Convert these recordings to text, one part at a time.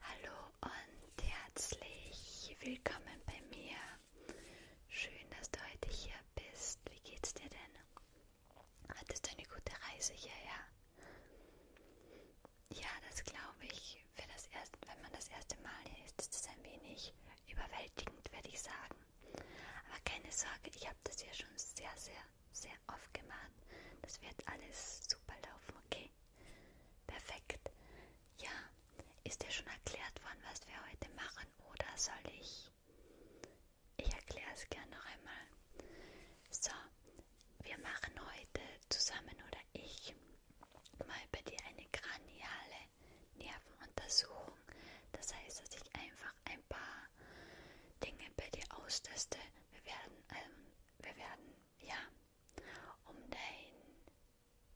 Hallo und herzlich willkommen bei mir. Schön, dass du heute hier bist. Wie geht's dir denn? Hattest du eine gute Reise hierher? Ja, das glaube ich. Für das erste, wenn man das erste Mal hier ist, ist es ein wenig überwältigend, würde ich sagen. Aber keine Sorge, ich habe das ja schon sehr, sehr, sehr oft gemacht. Das wird alles super laufen, okay? Perfekt. Ja, ist dir schon erklärt worden, was wir heute machen, oder soll ich? Ich erkläre es gerne noch einmal. So, wir machen heute zusammen oder ich mal bei dir eine kraniale Nervenuntersuchung. Das heißt, dass ich einfach ein paar Dinge bei dir austeste. Wir werden, ähm, wir werden, ja, um dein,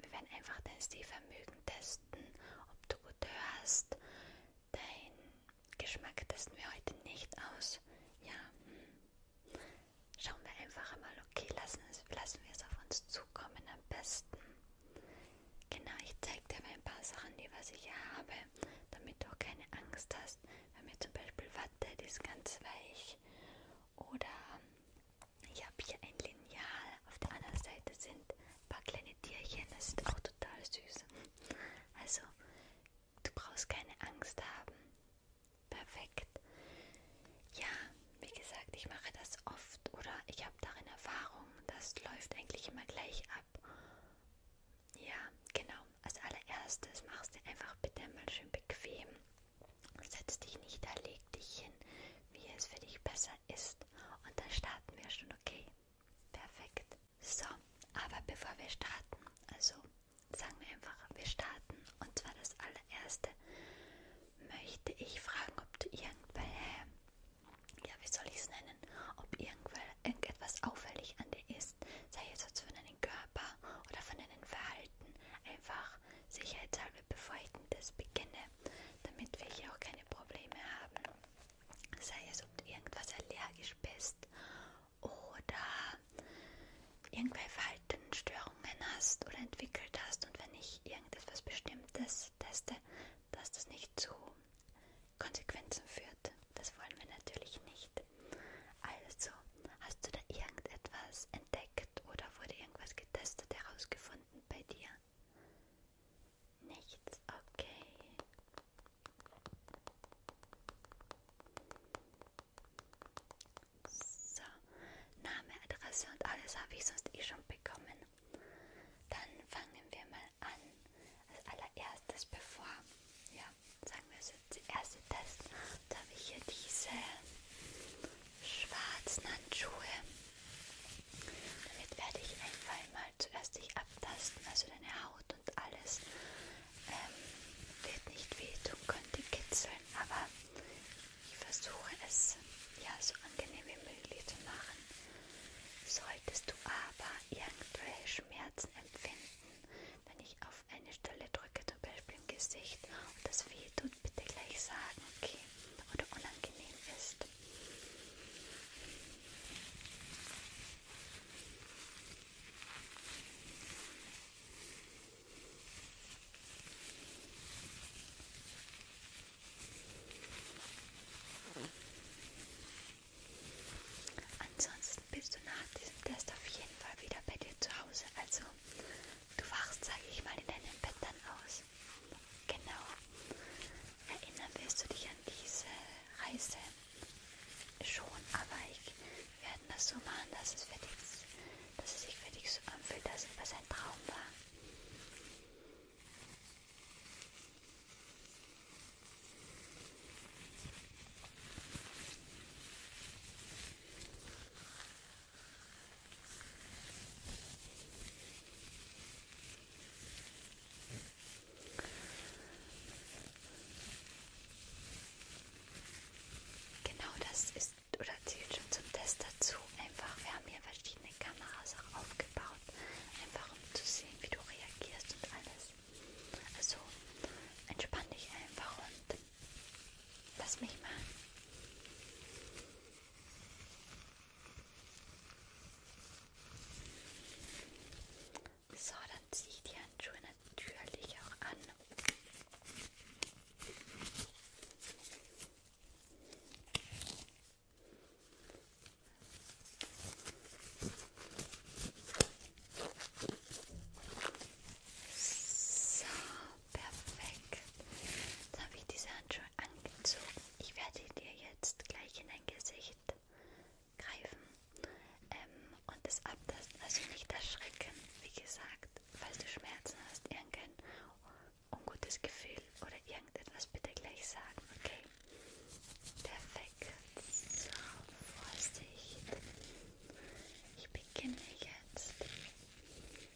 wir werden einfach dein Sehvermögen testen, ob du gut hörst, Dein Geschmack testen wir heute nicht aus. Ja, hm. schauen wir einfach mal. Okay, lassen, es, lassen wir es auf uns zukommen am besten. Genau, ich zeige dir mal ein paar Sachen, die was ich hier habe, damit du auch keine Angst hast. Bei mir zum Beispiel Watte, die ist ganz weich. Oder hm, ich habe hier ein Lineal. Auf der anderen Seite sind ein paar kleine Tierchen. Das ist auch total süß. Also Du brauchst keine Angst haben. Perfekt. Ja, wie gesagt, ich mache das oft oder ich habe darin Erfahrung. Das läuft eigentlich immer gleich ab. Ja, genau. Als allererstes machst du einfach bitte mal schön bequem. Setz dich nicht da, leg dich hin, wie es für dich besser ist. Und dann starten wir schon, okay? Perfekt. So, aber bevor wir starten, also sagen wir einfach, wir starten und zwar das allererste, möchte ich fragen, ob du irgendwelche, ja, wie soll ich es nennen, ob irgendetwas auffällig an dir ist, sei jetzt also von deinem Körper oder von deinem Verhalten, einfach sicherheitshalber, bevor ich das beginne, damit wir hier auch keine Probleme haben, sei es, ob du irgendwas allergisch bist oder irgendwelche Verhaltensstörungen hast oder entwickelt hast und wenn ich irgendetwas Bestimmtes teste, dass das nicht zu Konsequenzen führt. Das wollen wir natürlich nicht. Also, hast du da irgendetwas entdeckt oder wurde irgendwas getestet, herausgefunden bei dir? Nichts, okay. So, Name, Adresse und alles habe ich sonst eh schon bekommen. Dann fangen wir mal an. Als allererstes, bevor, ja, sagen wir so, der erste Test, da habe ich hier diese schwarzen Handschuhe. Damit werde ich einfach mal zuerst dich abtasten, also deine Haut und alles ähm, wird nicht wehtun, könnte kitzeln, aber ich versuche es ja so angenehm wie möglich zu machen. Solltest du aber irgendwelche Schmerzen empfinden, wenn ich auf eine Stelle drücke, zum Beispiel im Gesicht und das wehtut, bitte gleich sagen, okay, oder unangenehm ist. Ansonsten bist du nach diesem Test auf jeden Fall wieder bei dir zu Hause. Also du wachst, sage ich mal, in deinem Bett dann aus. Genau. Erinnern wirst du dich an diese Reise schon, aber ich werde das so machen, dass es, für dich, dass es sich für dich so anfühlt, dass es was ein Traum war. Genau das ist oder zählt schon zum Test dazu. Einfach, wir haben hier verschiedene Kameras auch aufgebaut, einfach um zu sehen, wie du reagierst und alles. Also entspann dich einfach und lass mich mal. So, dann ziehe ich die Handschuhe natürlich auch an. So, perfekt. Jetzt habe ich diese Handschuhe angezogen. Ich werde dir jetzt gleich in dein Gesicht greifen ähm, und das abtasten, also nicht erschrecken, wie gesagt, falls du Schmerzen hast, irgendein ungutes Gefühl oder irgendetwas bitte gleich sagen, okay? Perfekt, so, Vorsicht, ich beginne jetzt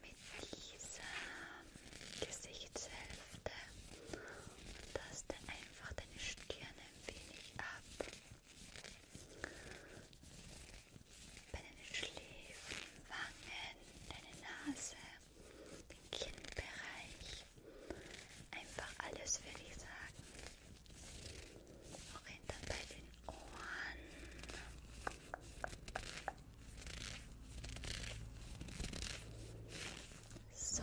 mit dieser Gesichtshälfte Taste einfach deine Stirn ein wenig ab. Bei deinen Schläfen, Wangen, deine Nase, den Kinnbereich. Einfach alles würde ich sagen. Auch hinter bei den Ohren. So,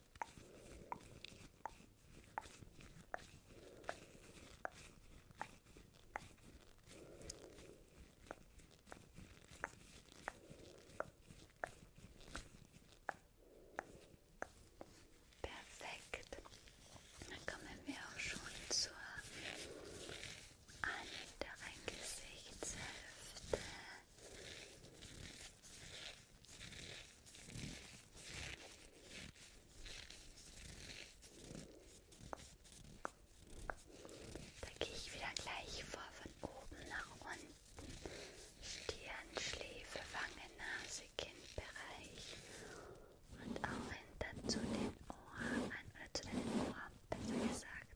Perfekt. Dann kommen wir auch schon zur anderen Gesichtshälfte. Da gehe ich wieder gleich vor von oben nach unten. Stirn, Schläfe, Wange, Nase, Kindbereich und auch hinter zu den Ohren, oder zu den Ohren, besser gesagt.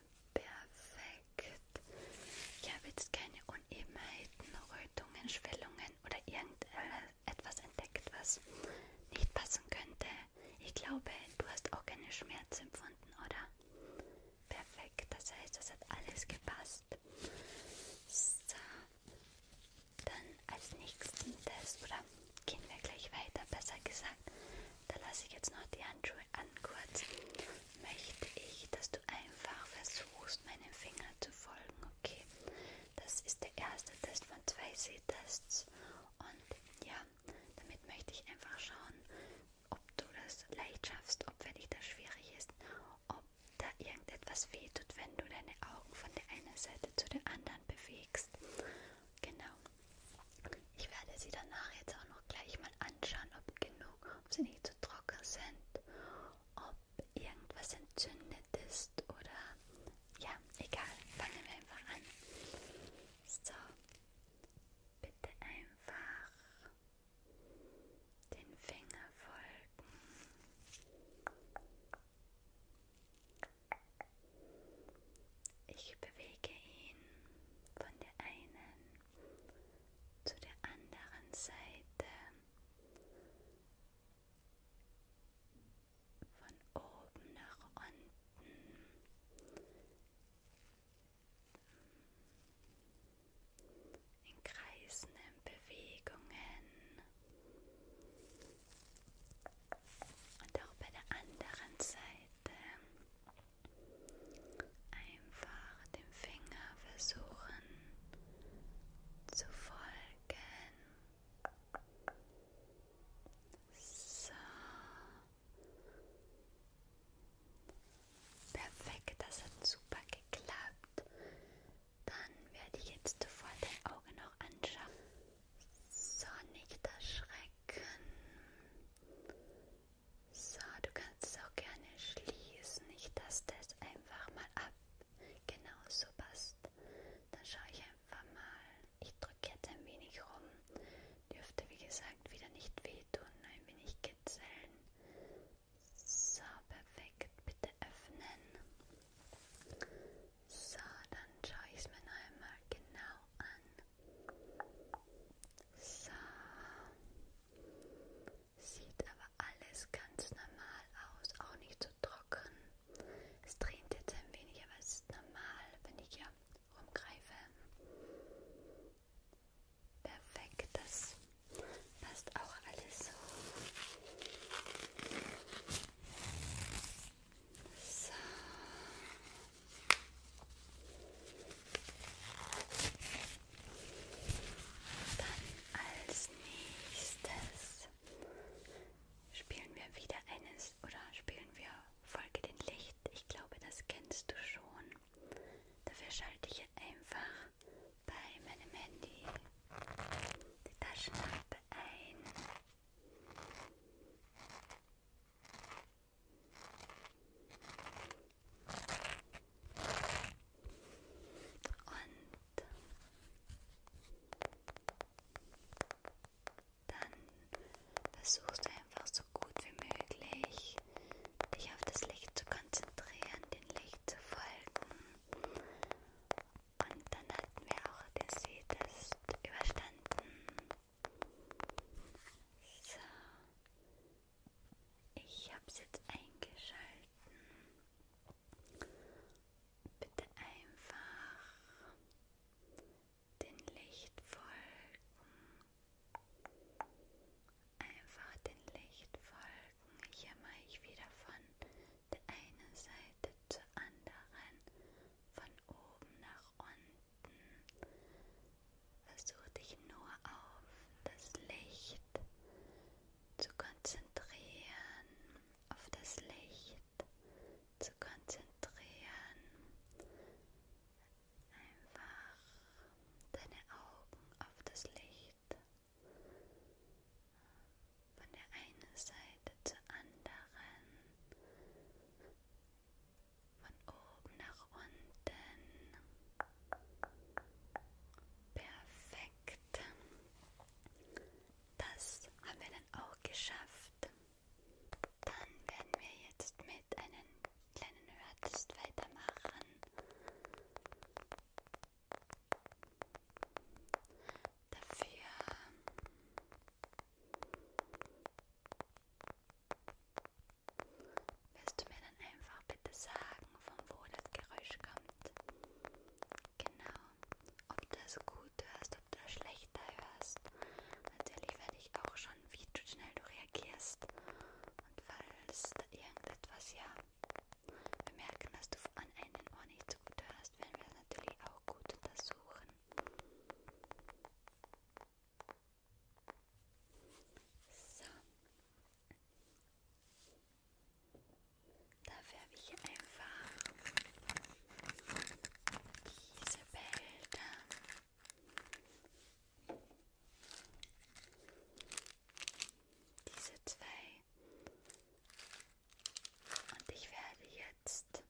Perfekt. Ich habe jetzt keine Unebenheiten, Rötungen, Schwellungen oder irgendetwas entdeckt, was nicht passen könnte. Ich glaube, du hast auch keine Schmerzen empfunden, oder? Perfekt. Das heißt, das hat alles gepasst. So. Dann als nächsten Test, oder gehen wir gleich weiter, besser gesagt. Da lasse ich jetzt noch die Handschuhe Handschuhe ankurz, möchte ich, dass du einfach versuchst, meinem Finger zu folgen, okay? Das ist der erste Test von zwei Sehtests und ja, damit möchte ich einfach schauen, ob du das leicht schaffst, ob für dich das schwierig ist, ob da irgendetwas wehtut, wenn du deine Augen von der einen Seite zu der anderen bewegst. Genau. Ich werde sie danach jetzt auch noch gleich mal anschauen, ob genug, ob sie nicht zu trocken sind, ob irgendwas entzündet ist oder ja, egal. Fangen wir einfach an. So, bitte einfach den Finger folgen. Ich bewege ihn von der einen zu der anderen Seite von oben nach unten. In kreisenden Bewegungen und auch bei der anderen Seite Einfach dem Finger versuchen zu folgen. So. Perfekt, das hat super geklappt. Dann werde ich jetzt sofort dein Auge noch anschauen. So, nicht erschrecken. So, du kannst es auch gerne schließen. Ich taste es einfach mal ab. Genau so passt. Dann schaue ich einfach mal. Ich drücke jetzt ein wenig rum. Dürfte wie gesagt wieder nicht wehtun. Ein wenig kitzeln. So, perfekt. Bitte öffnen. So, dann schaue ich es mir noch einmal genau an. So. Sieht aber alles ganz normal aus, auch nicht zu so trocken. Es tränt jetzt ein wenig, aber es ist normal, wenn ich hier rumgreife. Perfekt, das passt auch alles so. So. Dann als nächstes spielen wir wieder eines oder spielen wir Folge den Licht. Ich glaube, das kennst du schon. Dafür schalte ich einfach bei meinem Handy die Taschenlampe ein. Und dann versuchst du einfach so gut wie möglich, dich auf das Licht zu konzentrieren, dem Licht zu folgen. Und dann hatten wir auch den See-Test überstanden. So, ich habe es jetzt eingeschalten. Bitte einfach den Licht folgen. Einfach den Licht folgen. Hier mache ich wieder von der einen Seite zur anderen, von oben nach nach unten. Versuch dich nur auf das Licht zu konzentrieren, auf das Licht zu konzentrieren. Einfach deine Augen auf das Licht von der einen Seite zur anderen von oben nach unten. Perfekt. Das haben wir dann auch geschafft. Dann werden wir jetzt mit einem kleinen Hörtest weitermachen. Dafür wirst du mir dann einfach bitte sagen, von wo das Geräusch kommt? Genau. Ob du das gut hörst, ob du das schlechter hörst. Natürlich werde ich auch schon, wie du schnell du reagierst. Und falls da irgendetwas, ja, wir merken, dass du an einem Ohr nicht so gut hörst, werden wir das natürlich auch gut untersuchen. So. Dafür habe ich einfach diese Bilder. Diese zwei. Und ich werde jetzt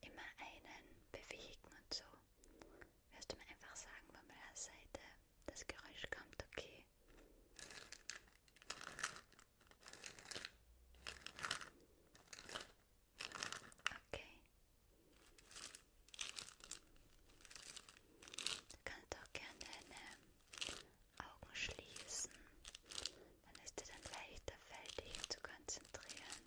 immer einen bewegen und so wirst du mir einfach sagen, von welcher Seite das Geräusch kommt, okay? Okay. Du kannst auch gerne deine Augen schließen. Dann ist dir dann leichter, dich zu konzentrieren.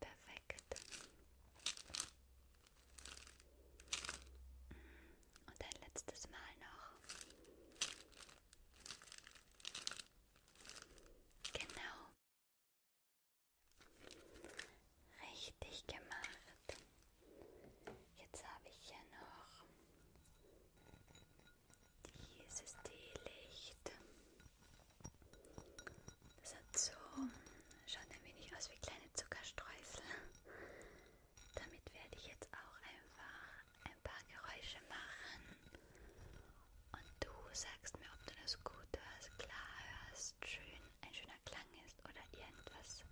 Perfekt. Und ein letztes Mal noch. Genau. Richtig gemacht. Jetzt habe ich hier noch dieses Teelicht. Das hat so, schaut ein wenig aus wie kleine Zuckerstreusel. Damit werde ich jetzt auch einfach ein paar Geräusche machen. Und du sagst mir, ob du das gut hörst, klar hörst, schön, ein schöner Klang ist oder irgendwas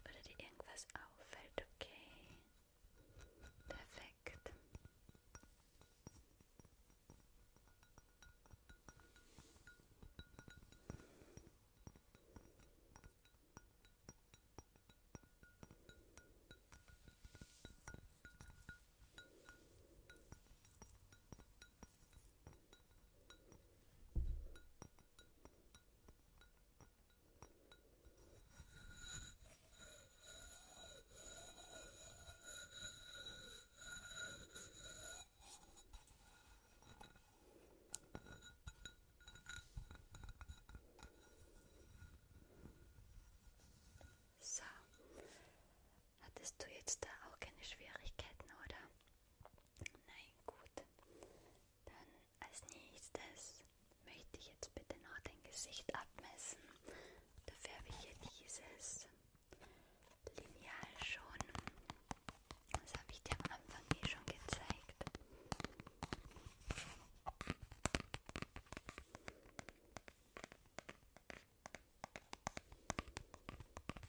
oder dir irgendwas auffällt, okay? Perfekt. So, hattest du jetzt da auch keine Schwierigkeiten, oder? Nein, gut. Dann als nächstes möchte ich jetzt bitte noch dein Gesicht abmessen. Dafür habe ich hier dieses Lineal schon. Das habe ich dir am Anfang eh schon gezeigt.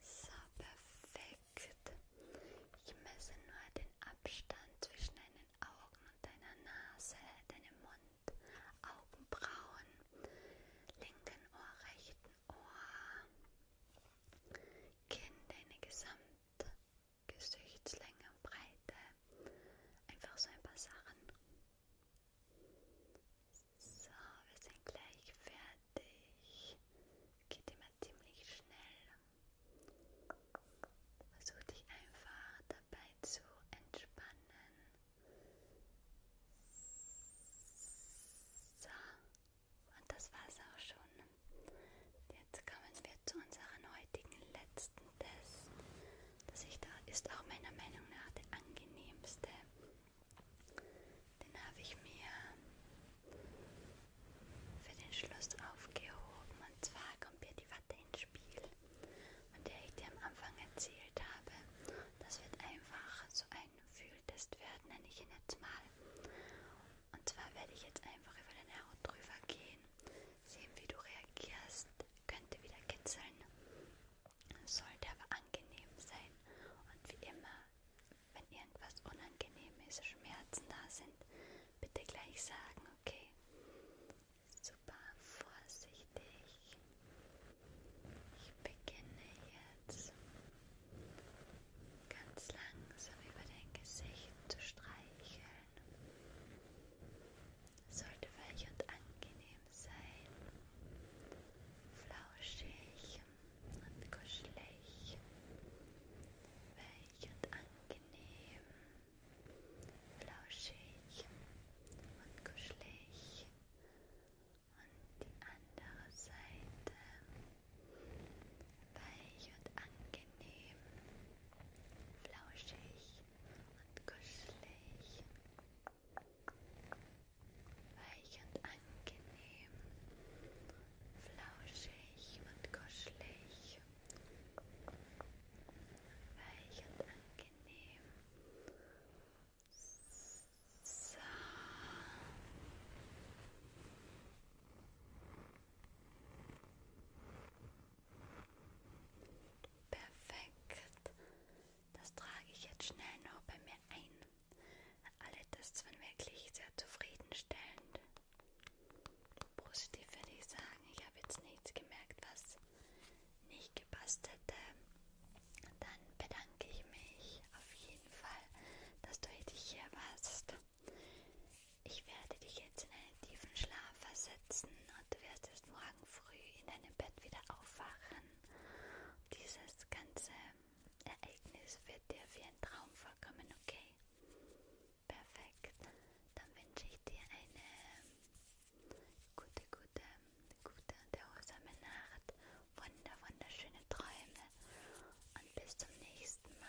So perfekt. Ich messe nur den Abstand zwischen deinen Augen und deiner Nase, deinem Mund, Augenbrauen, linken Ohr, rechten Ohr. Kinn, deine gesamte Gesichtslänge und Breite. Einfach so ein paar Sachen. So, wir sind gleich fertig. Geht immer ziemlich schnell. Versuch dich einfach dabei zu entspannen. So, und das war's auch schon. Jetzt kommen wir zu unserem heutigen letzten Test. Das ist auch meiner Meinung nach der angenehmste. Den habe ich mir für den Schluss aufgehoben. Und zwar kommt hier die Watte ins Spiel, von der ich dir am Anfang erzählt habe. Das wird einfach so ein einen Fühltest werden, nenne ich ihn jetzt mal. Und zwar werde ich jetzt einfach über deine Haut drüber gehen, sehen, wie du reagierst. Könnte wieder kitzeln, sollte aber angenehm sein. Und wie immer, wenn irgendwas unangenehm ist, Schmerzen da sind, bitte gleich sagen, okay? Super vorsichtig. Ich beginne jetzt ganz langsam über dein Gesicht zu streicheln. Sollte weich und angenehm sein, flauschig und kuschelig, weich und angenehm, flauschig und kuschelig und die andere Seite weich und angenehm, flauschig und kuschelig, weich und angenehm, flauschig und kuschelig, weich und angenehm. So. Perfekt. Das trage ich jetzt schnell noch bei mir ein. Alle Tests waren wirklich sehr zufriedenstellend. Positiv würde ich sagen, ich habe jetzt nichts gemerkt, was nicht gepasst hätte. Dann bedanke ich mich auf jeden Fall, dass du heute hier warst. Ich werde dich jetzt in einen tiefen Schlaf versetzen und du wirst erst morgen früh in deinem Bett wieder aufwachen. Dieses ganze Ereignis wird dir wie ein Traum vorkommen, okay? Perfekt. Dann wünsche ich dir eine gute, gute gute und erholsame Nacht, wunder, wunderschöne Träume und bis zum nächsten Mal.